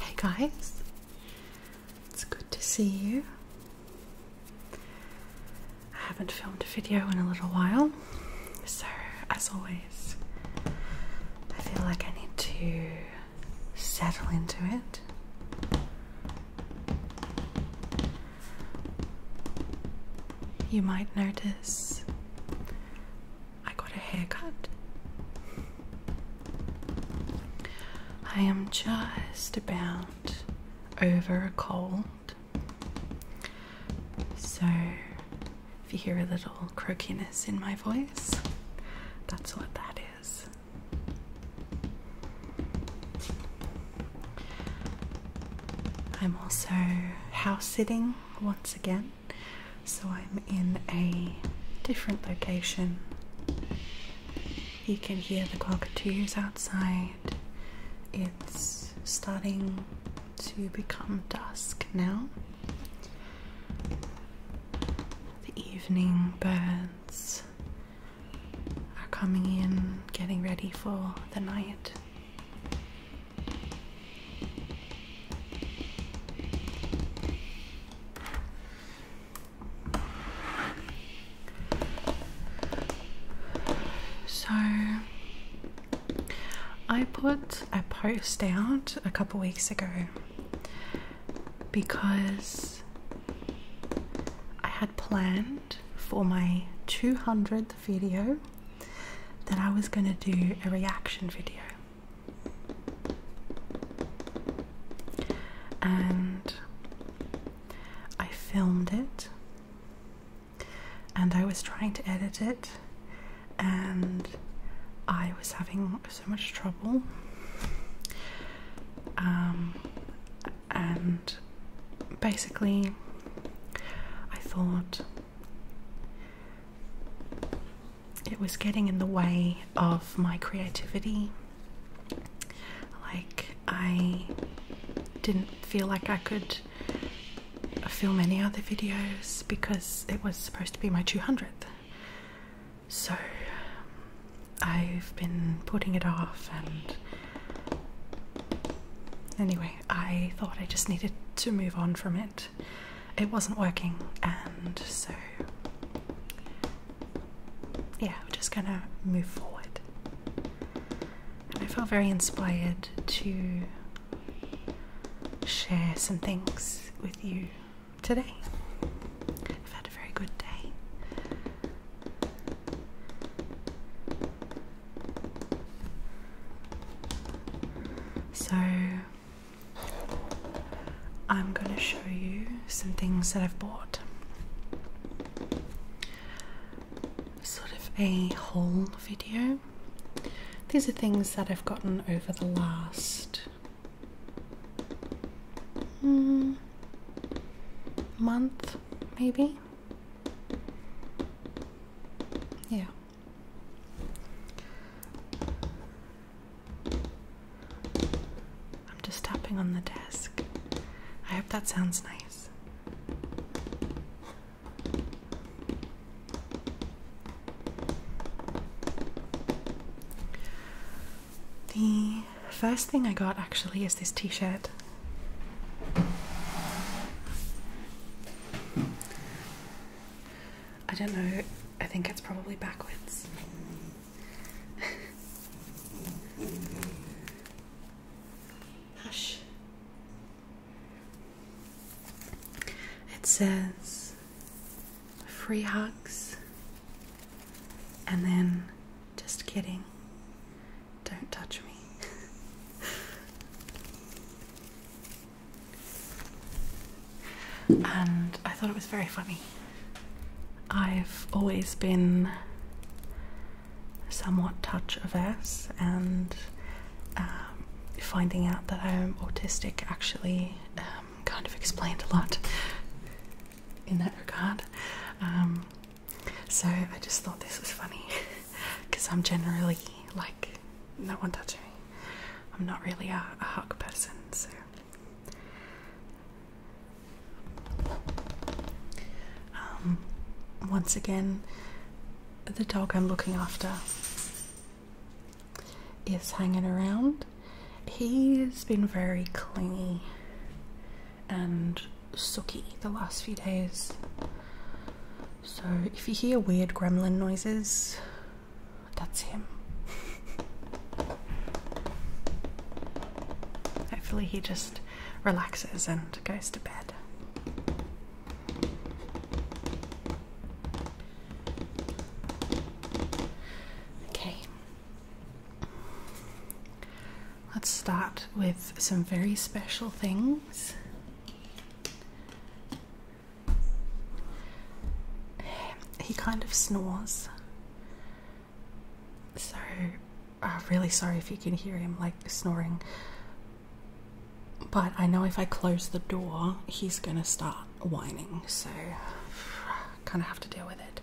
Hey guys, it's good to see you. I haven't filmed a video in a little while, so as always, I feel like I need to settle into it you might notice I got a haircut. I am just about over a cold. So, if you hear a little croakiness in my voice, that's what that is. I'm also house sitting once again. So I'm in a different location. You can hear the cockatoos outside. It's starting to become dusk now. The evening birds are coming in, getting ready for the night. So I put a post out a couple weeks ago because I had planned for my 200th video that I was going to do a reaction video. And I filmed it, and I was trying to edit it, and I was having so much trouble. Um, and basically, I thought it was getting in the way of my creativity. Like, I didn't feel like I could film any other videos because it was supposed to be my 200th. So, I've been putting it off, and anyway, I thought I just needed to move on from it it wasn't working, and so yeah, we're just gonna move forward. I felt very inspired to share some things with you today. I've had a very good day. So I'm going to show you some things that I've bought. Sort of a haul video. These are things that I've gotten over the last mm, month, maybe. Yeah. I'm just tapping on the desk. I hope that sounds nice. The first thing I got actually is this t shirt. I don't know, I think it's probably backwards. Hush. It says free hugs and then just kidding. Don't touch me. and I thought it was very funny. I've always been somewhat touch averse, and um, finding out that I'm autistic actually um, kind of explained a lot in that regard. Um, so I just thought this was funny because I'm generally like, no one touched I'm not really a, hug person, so um, once again, the dog I'm looking after is hanging around. He's been very clingy and sooky the last few days. So, if you hear weird gremlin noises, that's him. Hopefully, he just relaxes and goes to bed. Okay. Let's start with some very special things. He kind of snores. So, I'm really sorry if you can hear him like snoring. But I know if I close the door, he's gonna start whining, so kind of have to deal with it.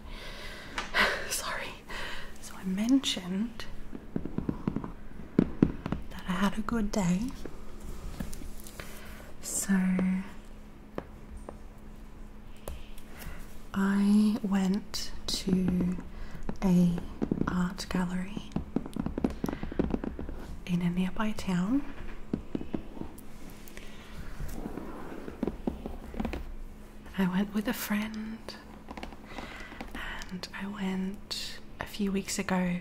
sorry. So, I mentioned that I had a good day. So I went to a art gallery in a nearby town. I went with a friend and I went a few weeks ago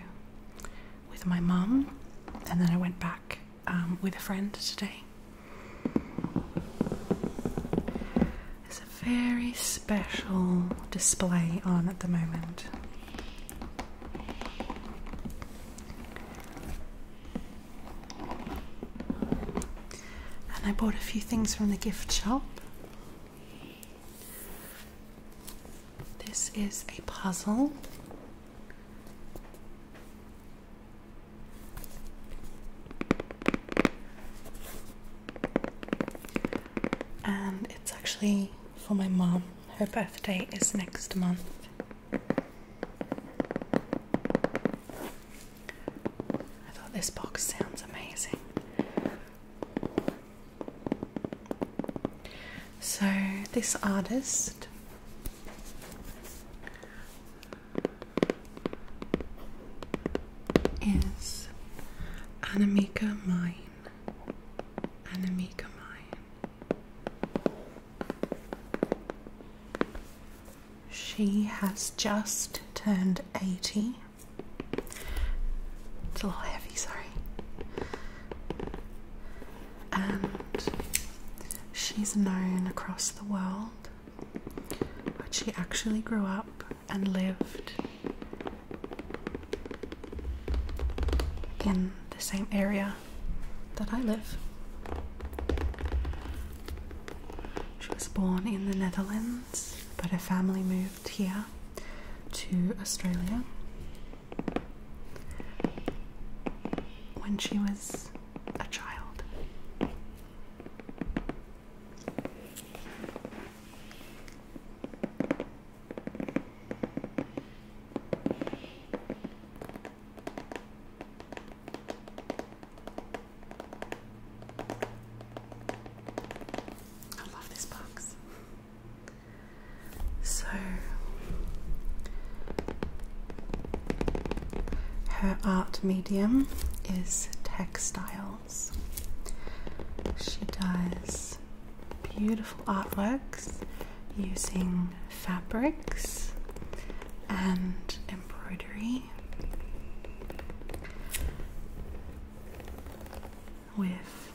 with my mum, and then I went back um, with a friend today. There's a very special display on at the moment. And I bought a few things from the gift shop. This is a puzzle. And it's actually for my mom. Her birthday is next month. I thought this box sounds amazing. So, this artist is Anamika Mine. Anamika Mine. She has just turned 80. It's a little heavy, sorry and she's known across the world, but she actually grew up and lived in the same area that I live. She was born in the Netherlands, but her family moved here to Australia when she was a child. I love this box. So her art medium is textiles. She does beautiful artworks using fabrics and embroidery with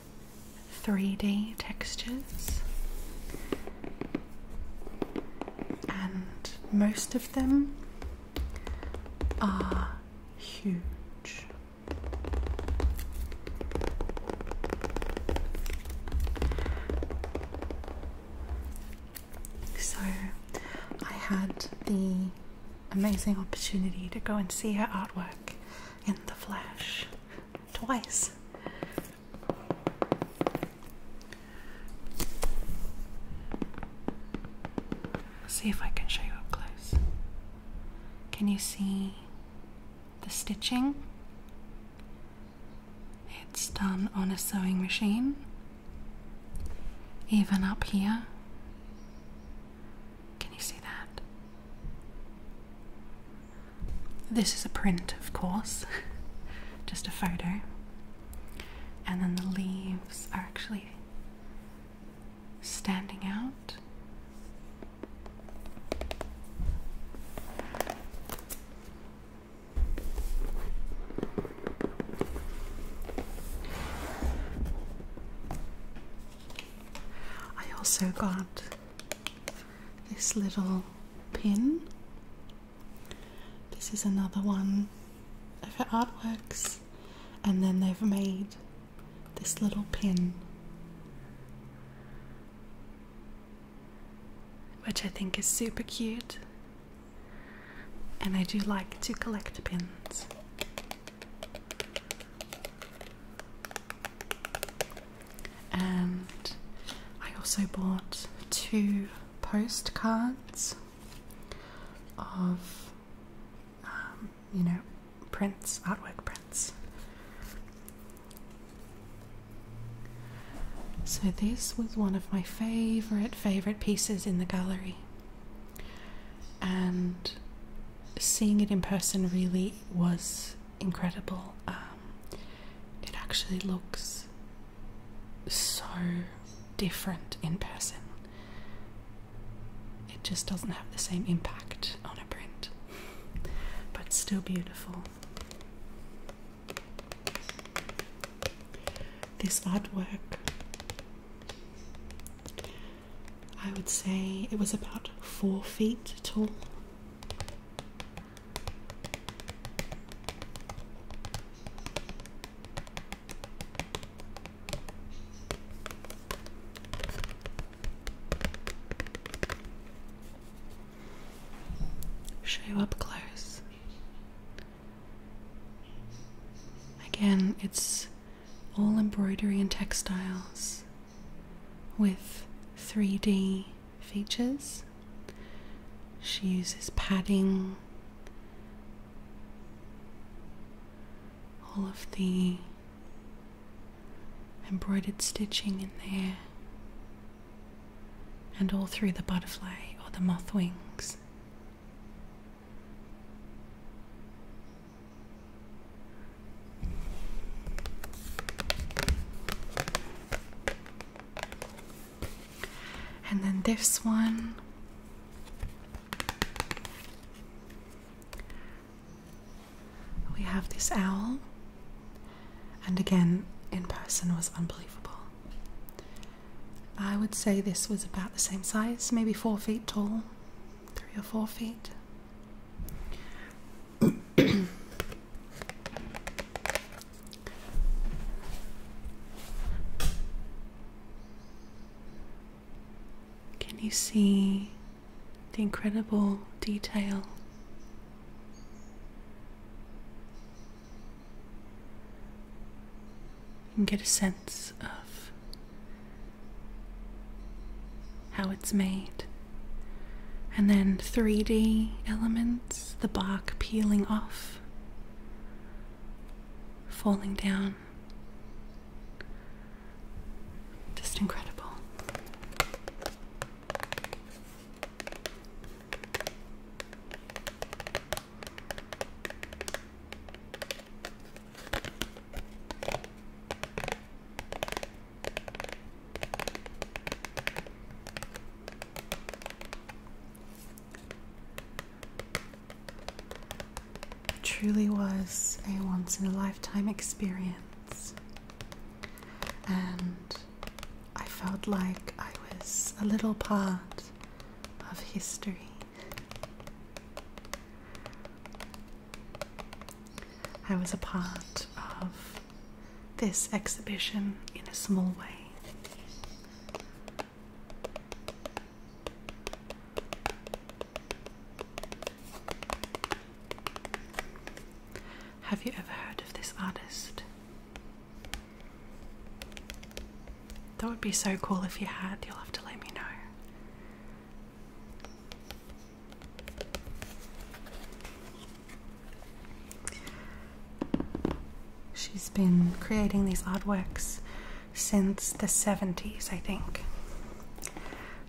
3D textures, and most of them are huge. So, I had the amazing opportunity to go and see her artwork in the flesh twice. See if I can show you up close. Can you see the stitching? It's done on a sewing machine, even up here. Can you see that? This is a print, of course, just a photo. And then the leaves are actually standing out. I also got this little pin. This is another one of her artworks, and then they've made this little pin, which I think is super cute. And I do like to collect pins and I also bought two postcards of, um, you know, prints, artwork prints. So, this was one of my favorite, favorite pieces in the gallery, and seeing it in person really was incredible. Um, it actually looks so different in person. It just doesn't have the same impact on a print, but still beautiful. This artwork, I would say it was about four feet tall. Show you up close. Again, it's all embroidery and textiles with 3D features. She uses padding, all of the embroidered stitching in there, and all through the butterfly or the moth wings. And then this one. We have this owl. And again, in person was unbelievable. I would say this was about the same size, maybe four feet tall, three or four feet. Can you see the incredible detail? You get a sense of how it's made. And then 3D elements the bark peeling off, falling down. Just incredible. It truly was a once in a lifetime experience, and I felt like I was a little part of history. I was a part of this exhibition in a small way. Have you ever heard of this artist? That would be so cool if you had. You'll have to let me know. She's been creating these artworks since the 70s, I think.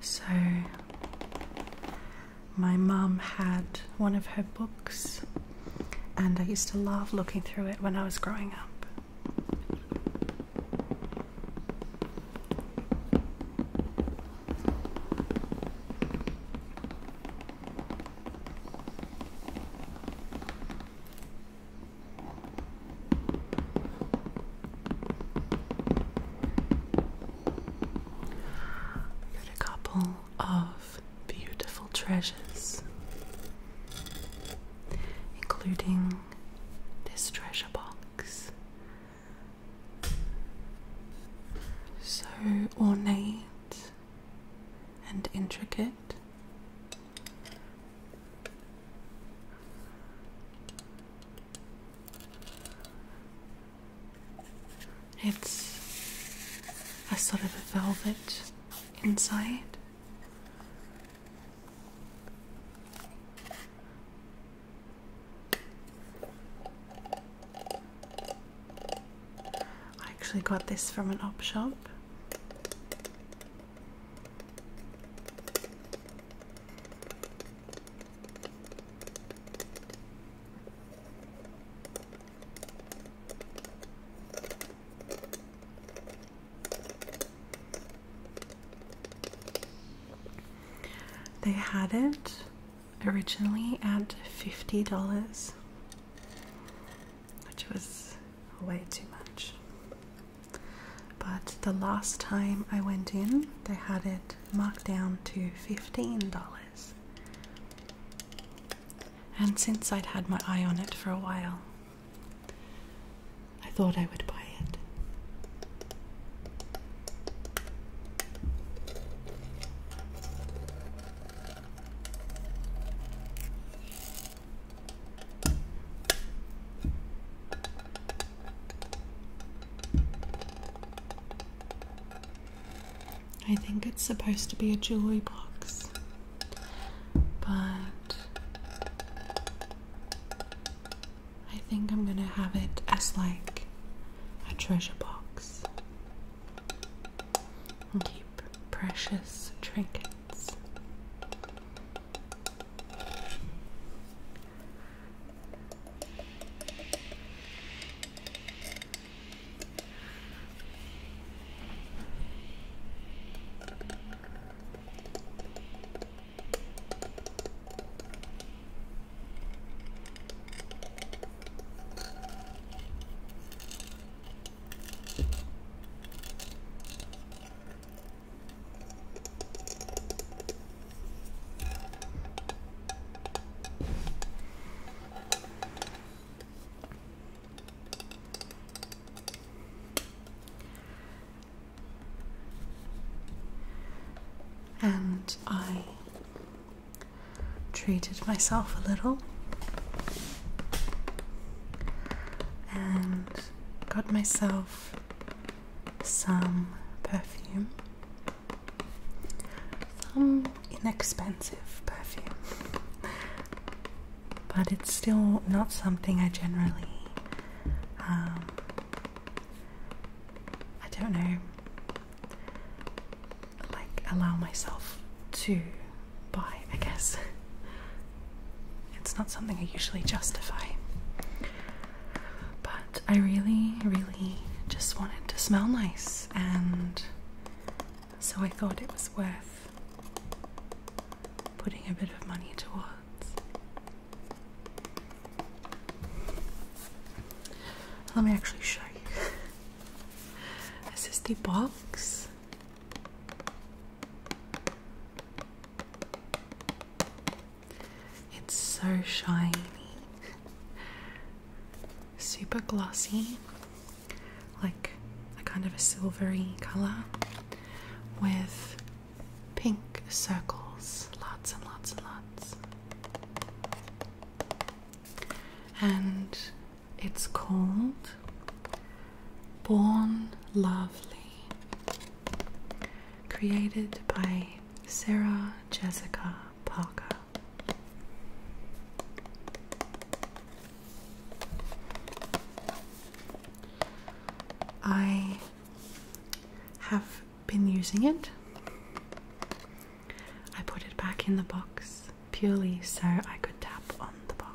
So, my mum had one of her books, and I used to love looking through it when I was growing up. Got a couple of beautiful treasures, including this treasure box. So ornate and intricate. It's a sort of a velvet inside. I actually got this from an op shop. They had it originally at $50 which was way too much. But the last time I went in, they had it marked down to $15. And since I'd had my eye on it for a while, I thought I would buy it. I think it's supposed to be a jewelry box, but I think I'm gonna have it as like a treasure box. Okay, precious trinkets. And I treated myself a little and got myself some perfume, some inexpensive perfume, but it's still not something I generally. Um, I don't know, like allow myself to buy, I guess. It's not something I usually justify. But I really, really just wanted to smell nice, and so I thought it was worth putting a bit of money towards. Let me actually show you. This is the box. It's so shiny, super glossy, like a kind of a silvery color with pink circles, lots and lots and lots. And it's called Born Lovely, created by Sarah Jessica Parker. I have been using it. I put it back in the box purely so I could tap on the box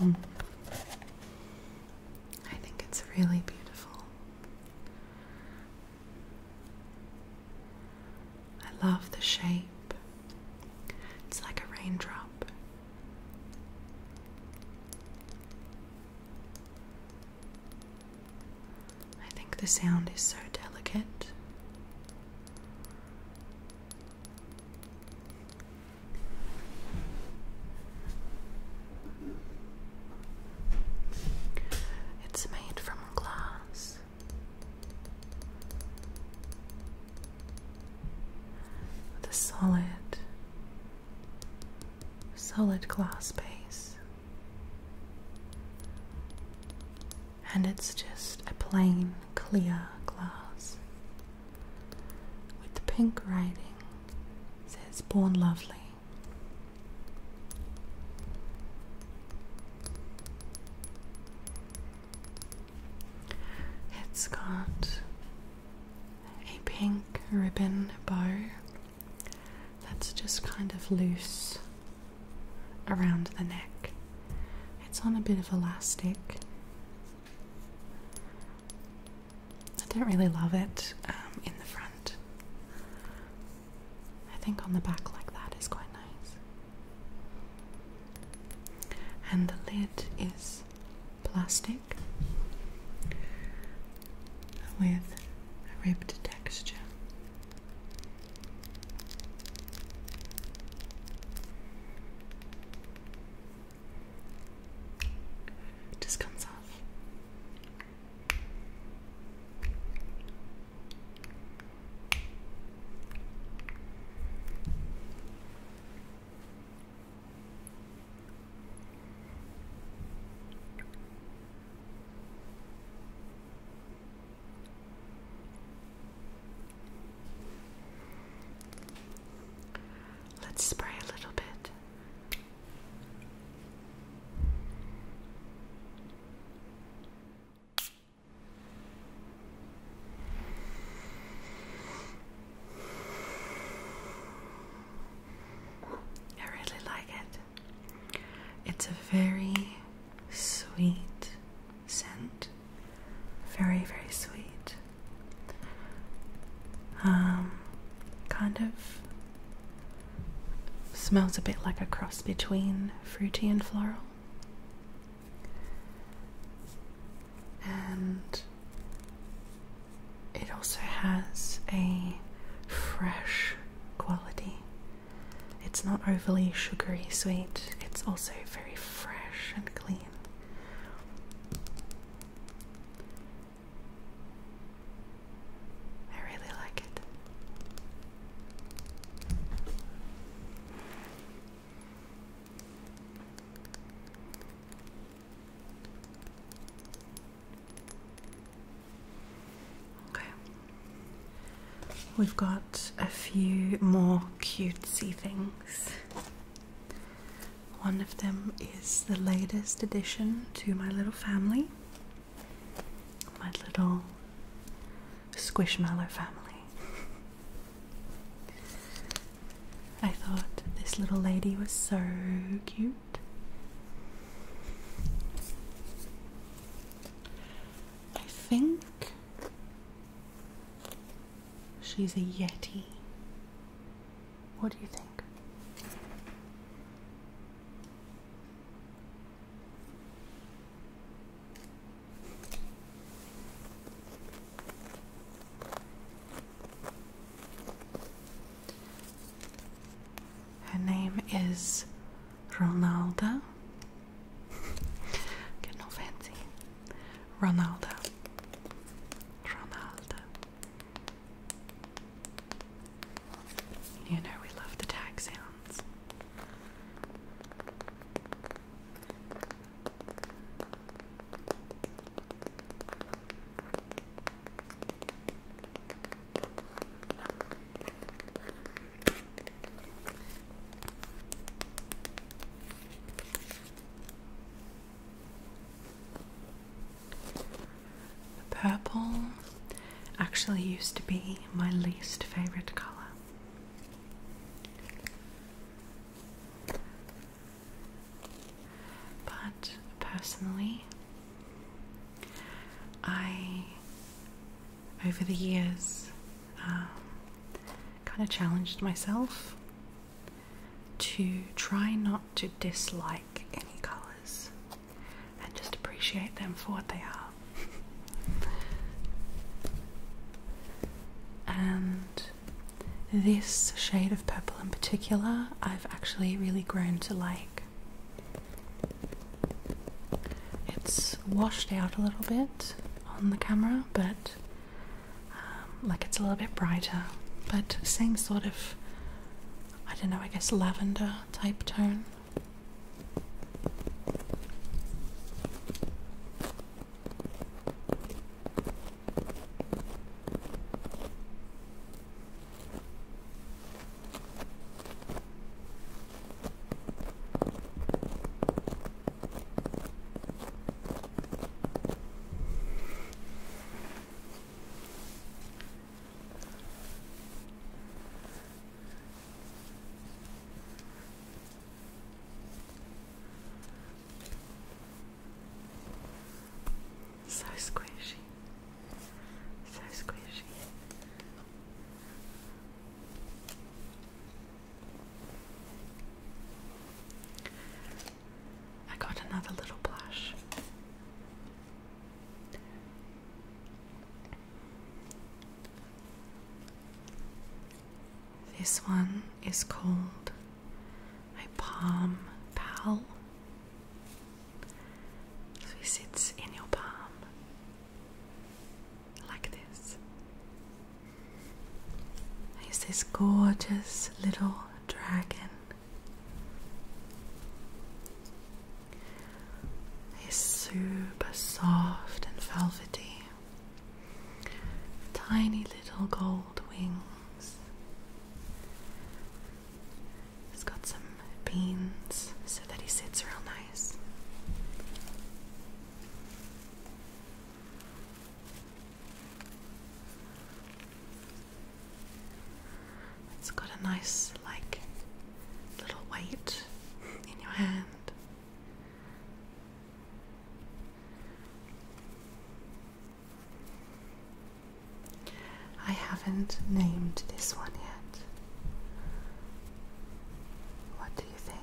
I think it's really beautiful. I love the shape. It's like a raindrop. I think the sound is so delicate. It's made from glass. With a solid, solid glass base, and it's just a plain clear glass with pink writing says born lovely it's got a pink ribbon bow that's just kind of loose around the neck. It's on a bit of elastic I don't really love it um, in the front. I think on the back like that is quite nice. And the lid is plastic with a ribbed texture. It just comes off. Let's spray a little bit. I really like it. It's a very sweet scent. Very, very sweet. Um, kind of smells a bit like a cross between fruity and floral. And it also has a fresh quality. It's not overly sugary sweet, it's also very fresh and clean. I really like it. Okay. We've got a few more cutesy things. One of them is the latest addition to my little family, my little squishmallow family. I thought this little lady was so cute. I think She's a Yeti. What do you think? Her name is Ronalda. Get no fancy. Ronalda. Ronaldo. You know we love the tag sounds. The purple actually used to be my least favorite color. But personally, I, over the years, um, kind of challenged myself to try not to dislike any colours and just appreciate them for what they are. and this shade of purple in particular, I've actually really grown to like. It's washed out a little bit on the camera, but um, like it's a little bit brighter, but same sort of, I don't know, I guess lavender type tone. So squishy, so squishy. I got another little blush. This one is called my palm pal. So it sits in your palm like this. There's this gorgeous little dragon. He's super soft and velvety. Tiny little gold wings. He's got some beans so that he sits real nice. It's got a nice, like, little weight in your hand. I haven't named this one yet. What do you think?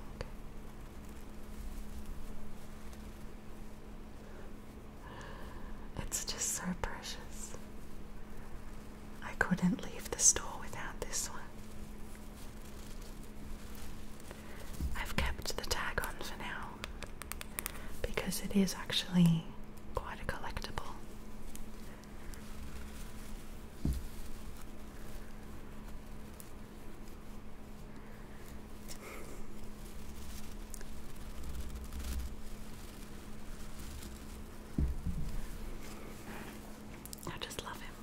It's just so precious. I couldn't leave the store without this one. I've kept the tag on for now because it is actually quite a collectible. I just love him.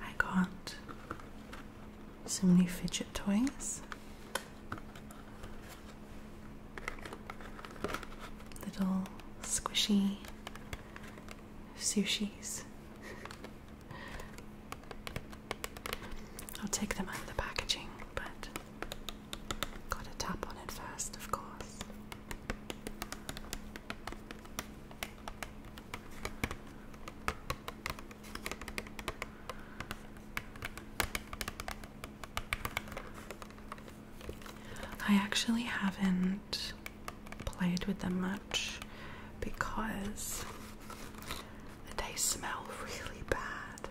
I got some new fidget toys little squishy sushis. I'll take them out of the packaging, but gotta tap on it first, of course. I actually haven't played with them much because they smell really bad.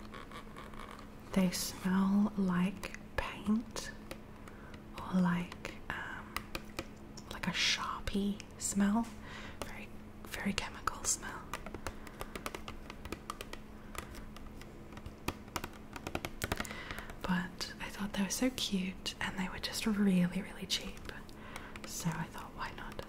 They smell like paint or like um, like a sharpie smell, very very chemical smell. But I thought they were so cute and they were just really, really cheap. So I thought, why not?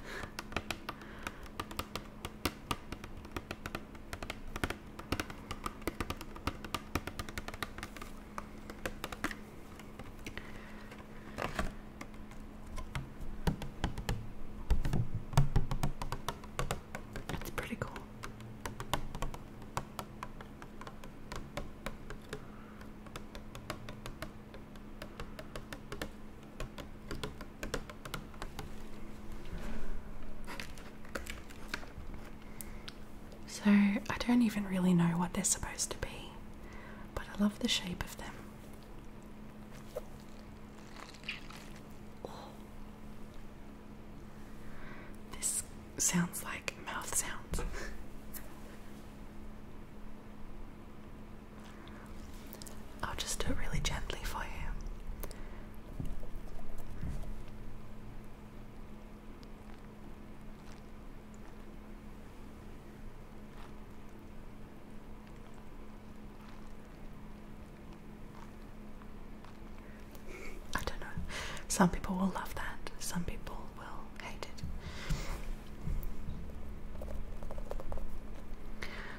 It's pretty cool. So, I don't even really know what they're supposed to be, but I love the shape of them. This sounds like mouth sounds. I'll just do it really gently for you. I don't know. Some people will love that, some people will hate it.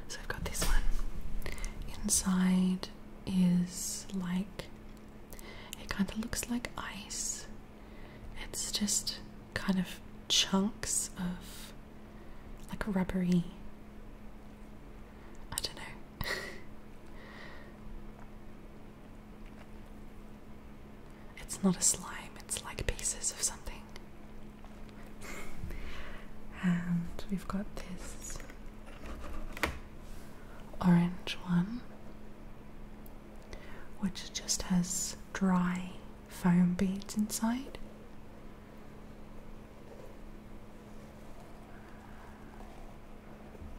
So I've got this one. Inside is like it kind of looks like ice. It's just kind of chunks of like rubbery. I don't know. it's not a slime, it's like pieces of something. and we've got this orange one, which just has dry foam beads inside.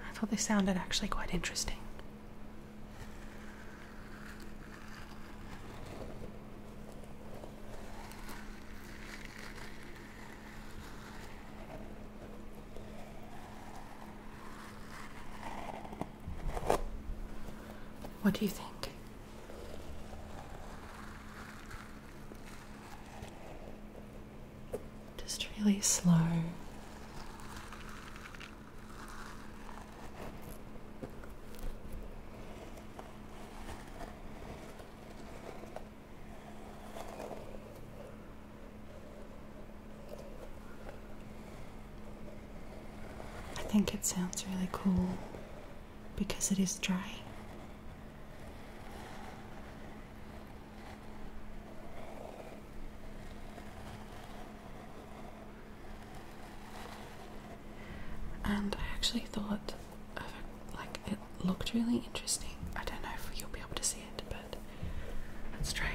I thought they sounded actually quite interesting. What do you think? Just really slow. I think it sounds really cool because it is dry. And I actually thought like it looked really interesting. I don't know if you'll be able to see it, but let's try it.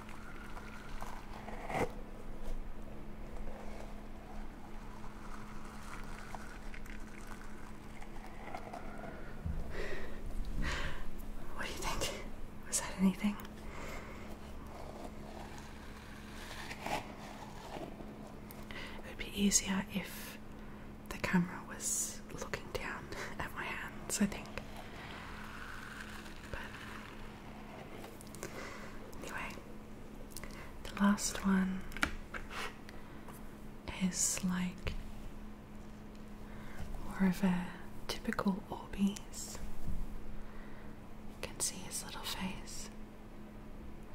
What do you think? Was that anything? It would be easier if the camera was looking down at my hands, I think. Anyway, the last one is like more of a typical Orbeez. You can see his little face.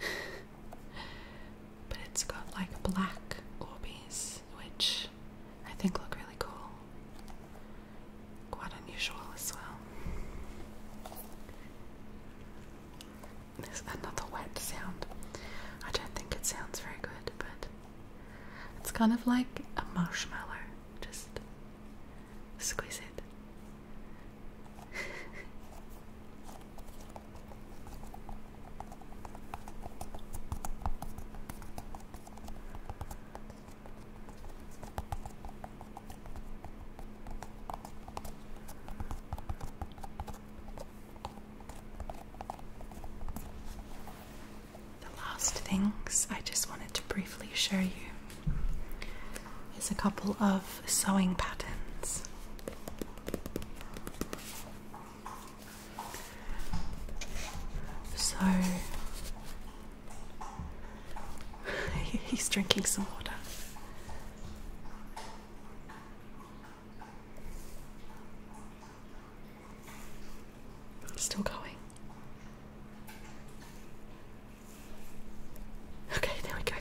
but it's got like black Orbeez, which I think look really cool. Quite unusual as well. There's another wet sound. I don't think it sounds very good, but it's kind of like a marshmallow. Just squeeze it. The last things I just wanted to briefly show you is a couple of sewing patterns. So He's drinking some water. Still going. Okay, there we go.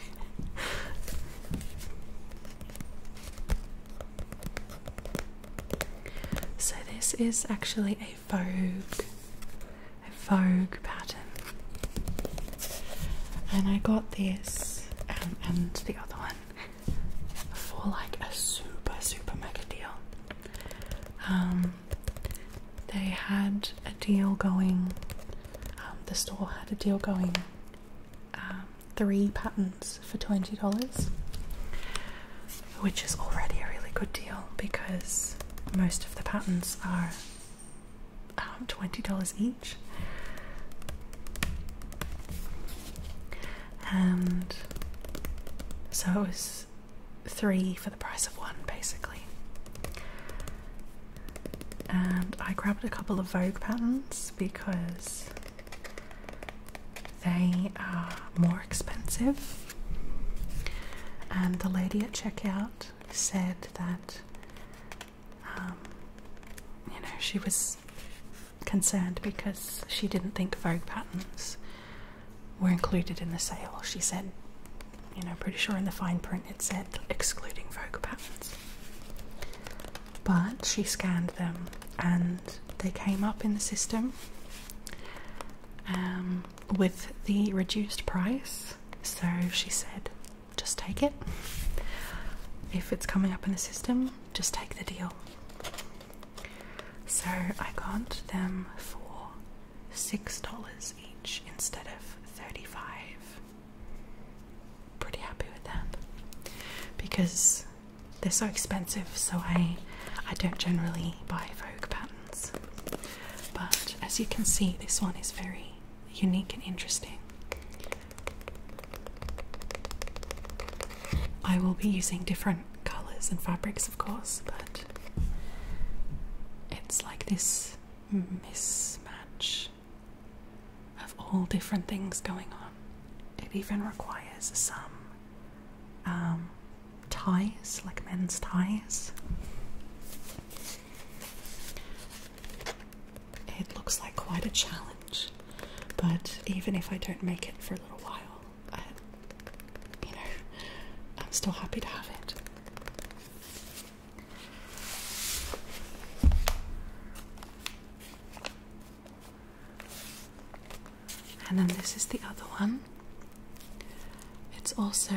So, this is actually a a vogue a vogue pattern and I got this um, and the other one for like a super super mega deal um they had a deal going um, the store had a deal going um, three patterns for $20 which is already a really good deal because most of the patterns are um, $20 each. And so it was three for the price of one, basically. And I grabbed a couple of Vogue patterns because they are more expensive. And the lady at checkout said that um, you know she was concerned because she didn't think Vogue patterns were included in the sale. She said, you know, pretty sure in the fine print it said excluding Vogue patterns. But she scanned them and they came up in the system. Um, with the reduced price. So she said, just take it. If it's coming up in the system, just take the deal. So I got them for six dollars each instead of thirty-five. Pretty happy with that because they're so expensive. So I, I don't generally buy Vogue patterns. But as you can see, this one is very unique and interesting. I will be using different colours and fabrics, of course, but it's like this mismatch of all different things going on. It even requires some um, ties, like men's ties. It looks like quite a challenge, but even if I don't make it for a little while, I, you know, I'm still happy to have it. And then this is the other one. It's also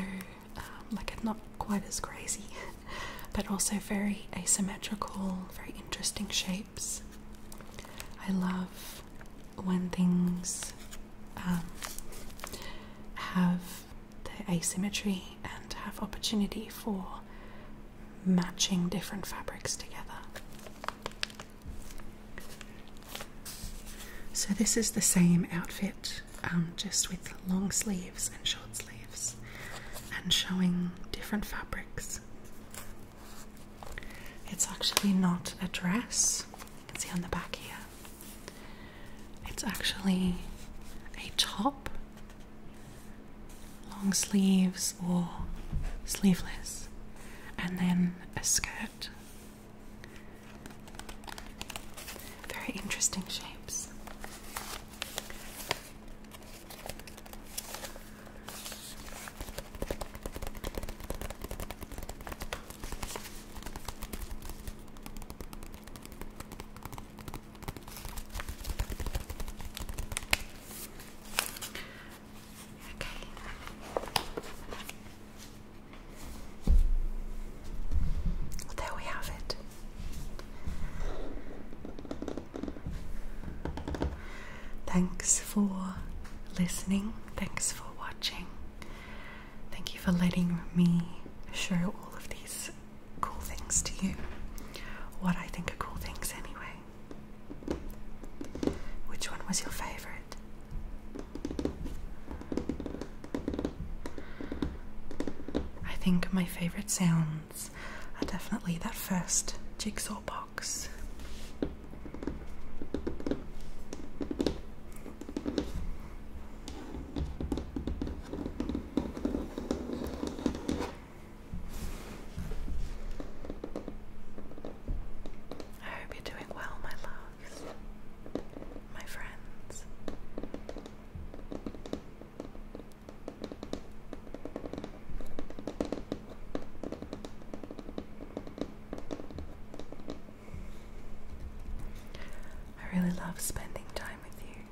um, like not quite as crazy, but also very asymmetrical, very interesting shapes. I love when things um, have the asymmetry and have opportunity for matching different fabrics together. So, this is the same outfit um, just with long sleeves and short sleeves, and showing different fabrics. It's actually not a dress, you can see on the back here. It's actually a top, long sleeves or sleeveless, and then a skirt. Very interesting shapes. Okay. there we have it. Thanks for listening. Thanks for watching. Thank you for letting me show all of these cool things to you. What I think are cool things, anyway. Which one was your favorite? I think my favourite sounds are definitely that first jigsaw box. I hope you're doing well, my loves, my friends. I really love spending time with you.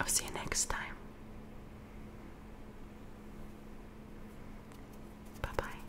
I'll see you next time. Bye bye.